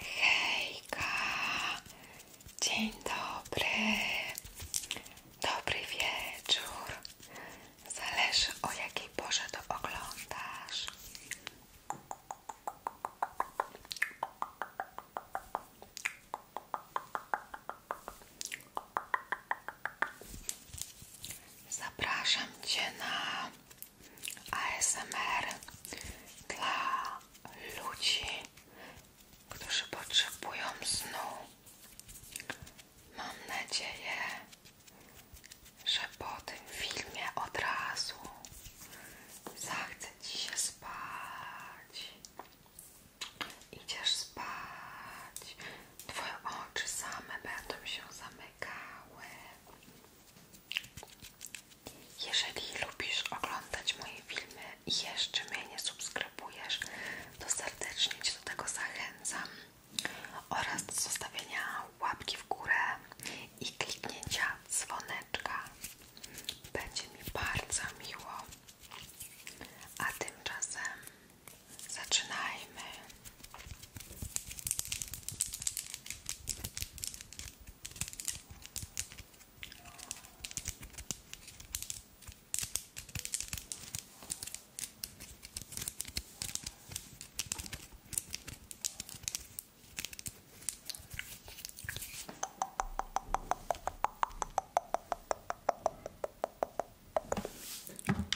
Hejka, dzień dobry, dobry wieczór, zależy o jakiej porze to oglądasz. Zapraszam Cię na ASMR dla ludzi, którzy potrzebują snu. Mam nadzieję, że po tym filmie od razu zachce Ci się spać. Idziesz spać, Twoje oczy same będą się zamykały. Jeżeli lubisz oglądać moje filmy i jeszcze mnie nie subskrybujesz, to serdecznie do tego zachęcam oraz do zostawienia łapki w górę i kliknięcia dzwoneczka. Będzie mi bardzo miło. A tymczasem zaczynajmy.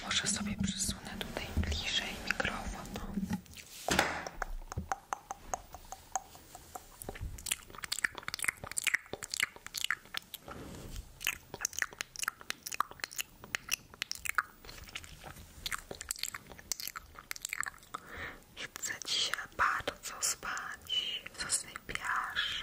Może sobie przysunę tutaj bliżej mikrofon. Chcę ci się bardzo spać, zasypiasz.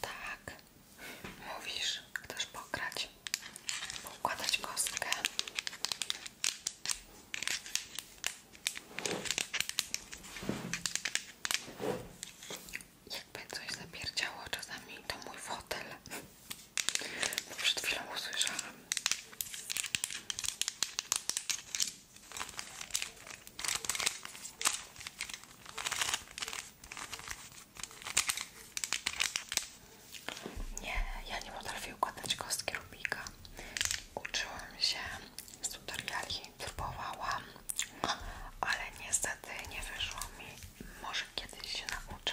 Tak, mówisz, chcesz pokrać, poukładać kostkę. Jakby coś zapierdziało czasami, to mój fotel, bo przed chwilą usłyszałam. Nie, ja nie potrafię układać kostki Rubika. Uczyłam się z tutoriali, próbowałam, ale niestety nie wyszło mi. Może kiedyś się nauczę.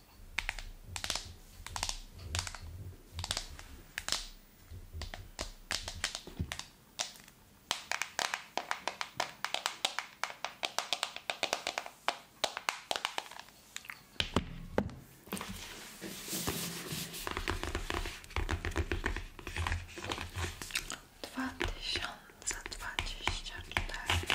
Dwa tysiące dwadzieścia cztery.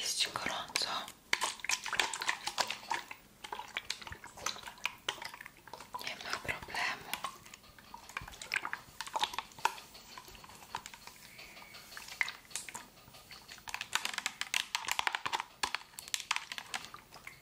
Jest ci gorąco. Nie ma problemu.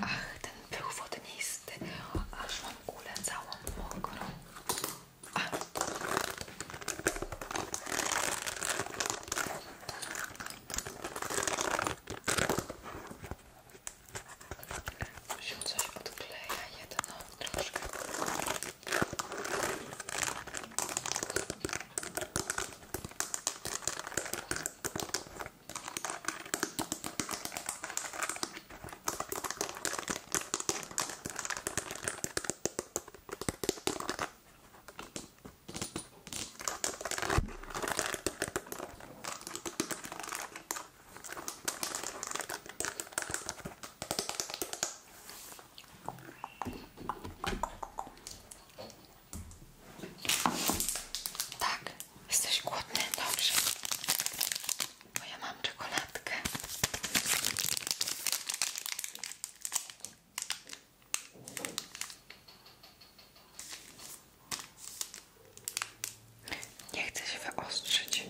Ach, ten pył wodnisty, aż mam kulę całą mokrą. Ach się coś odkleja jedno troszkę tak, jesteś głodny? Dobrze. Bo ja mam czekoladkę. Nie chcę się wyostrzyć.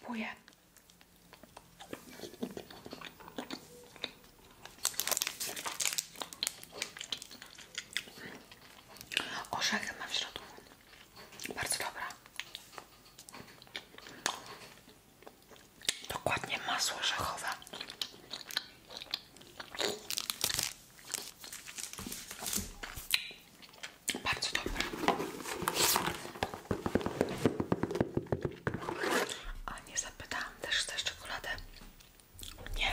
Próbuję. Orzechy mam w środku. Bardzo dobra. Dokładnie masło orzechowe. Bardzo dobra A nie zapytałam też chcesz czekoladę? Nie.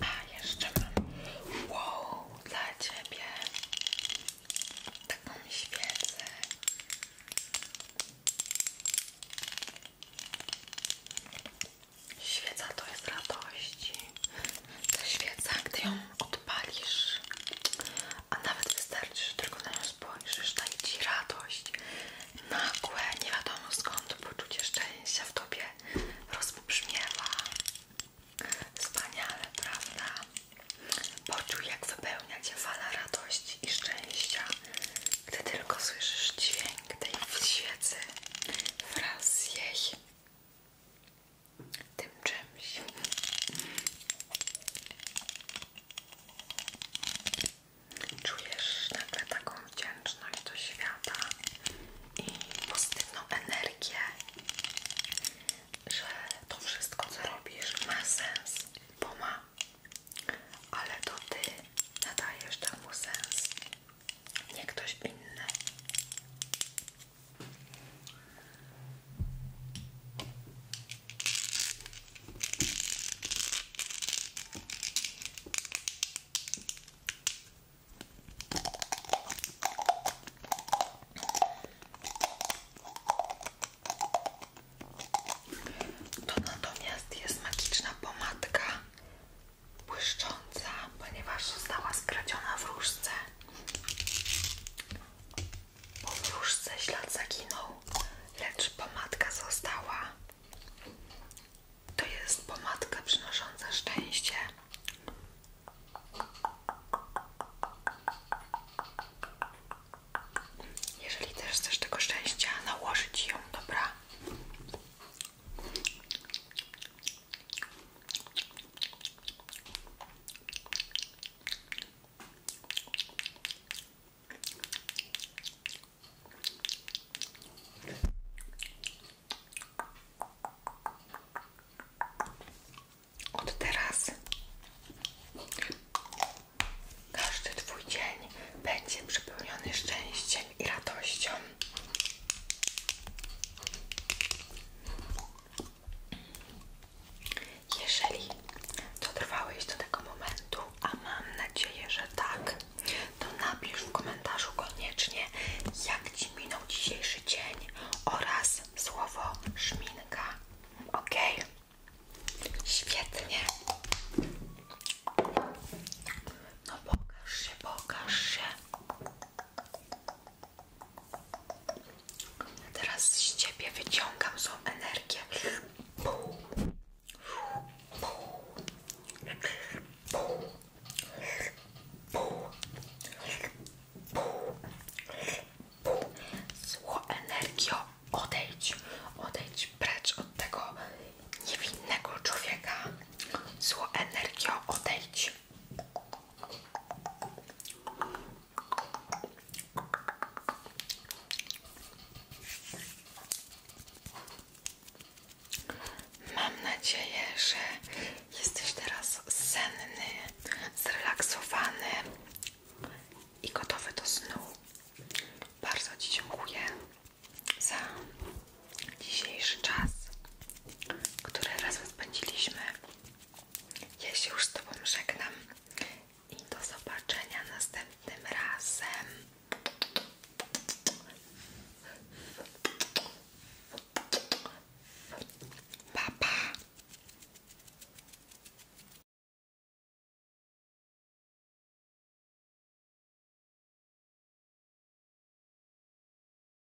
A jeszcze mam wow dla ciebie taką świecę. Świeca to jest radości zaświeca, gdy ją odpalisz, a nawet wystarczy, że tylko na nią spojrzysz, daje Ci radość, nagłe, nie wiadomo skąd poczucie szczęścia w Tobie rozbrzmiewa. Wspaniale, prawda? Poczuj, jak wypełnia Cię fala radości i szczęścia, gdy tylko słyszysz dźwięk tej świecy wraz z jej tym czymś. Czujesz nagle taką wdzięczność do świata i pozytywną energię, że to wszystko co robisz ma sens, bo ma, ale to ty nadajesz temu sens, nie ktoś inny. To natomiast jest magiczna pomadka błyszcząca, ponieważ została skradziona w różce. W wróżce ślad zaginął, lecz pomadka została. To jest pomadka przynosząca szczęście. Jeżeli też chcesz tego szczęścia, nałożyć ją, dobra? Od teraz każdy Twój dzień będzie przepełniony szczęściem i radością. Jeżeli to trwałeś do tego momentu, a mam nadzieję, że tak, to napisz w komentarzu koniecznie, jak Ci minął dzisiejszy dzień oraz słowo szminka. Ok? Świetnie. No pokaż się, pokaż się. Teraz z ciebie wyciągam złą energię. Pół. Zło energię odejdź. Odejdź precz od tego niewinnego człowieka. Zło energię odejdź. Mam nadzieję, że jesteś teraz senny, zrelaksowany i gotowy do snu. Bardzo Ci dziękuję za dzisiejszy czas, które razem spędziliśmy. Ja się już z Tobą żegnam i do zobaczenia następnym razem. Pa, pa.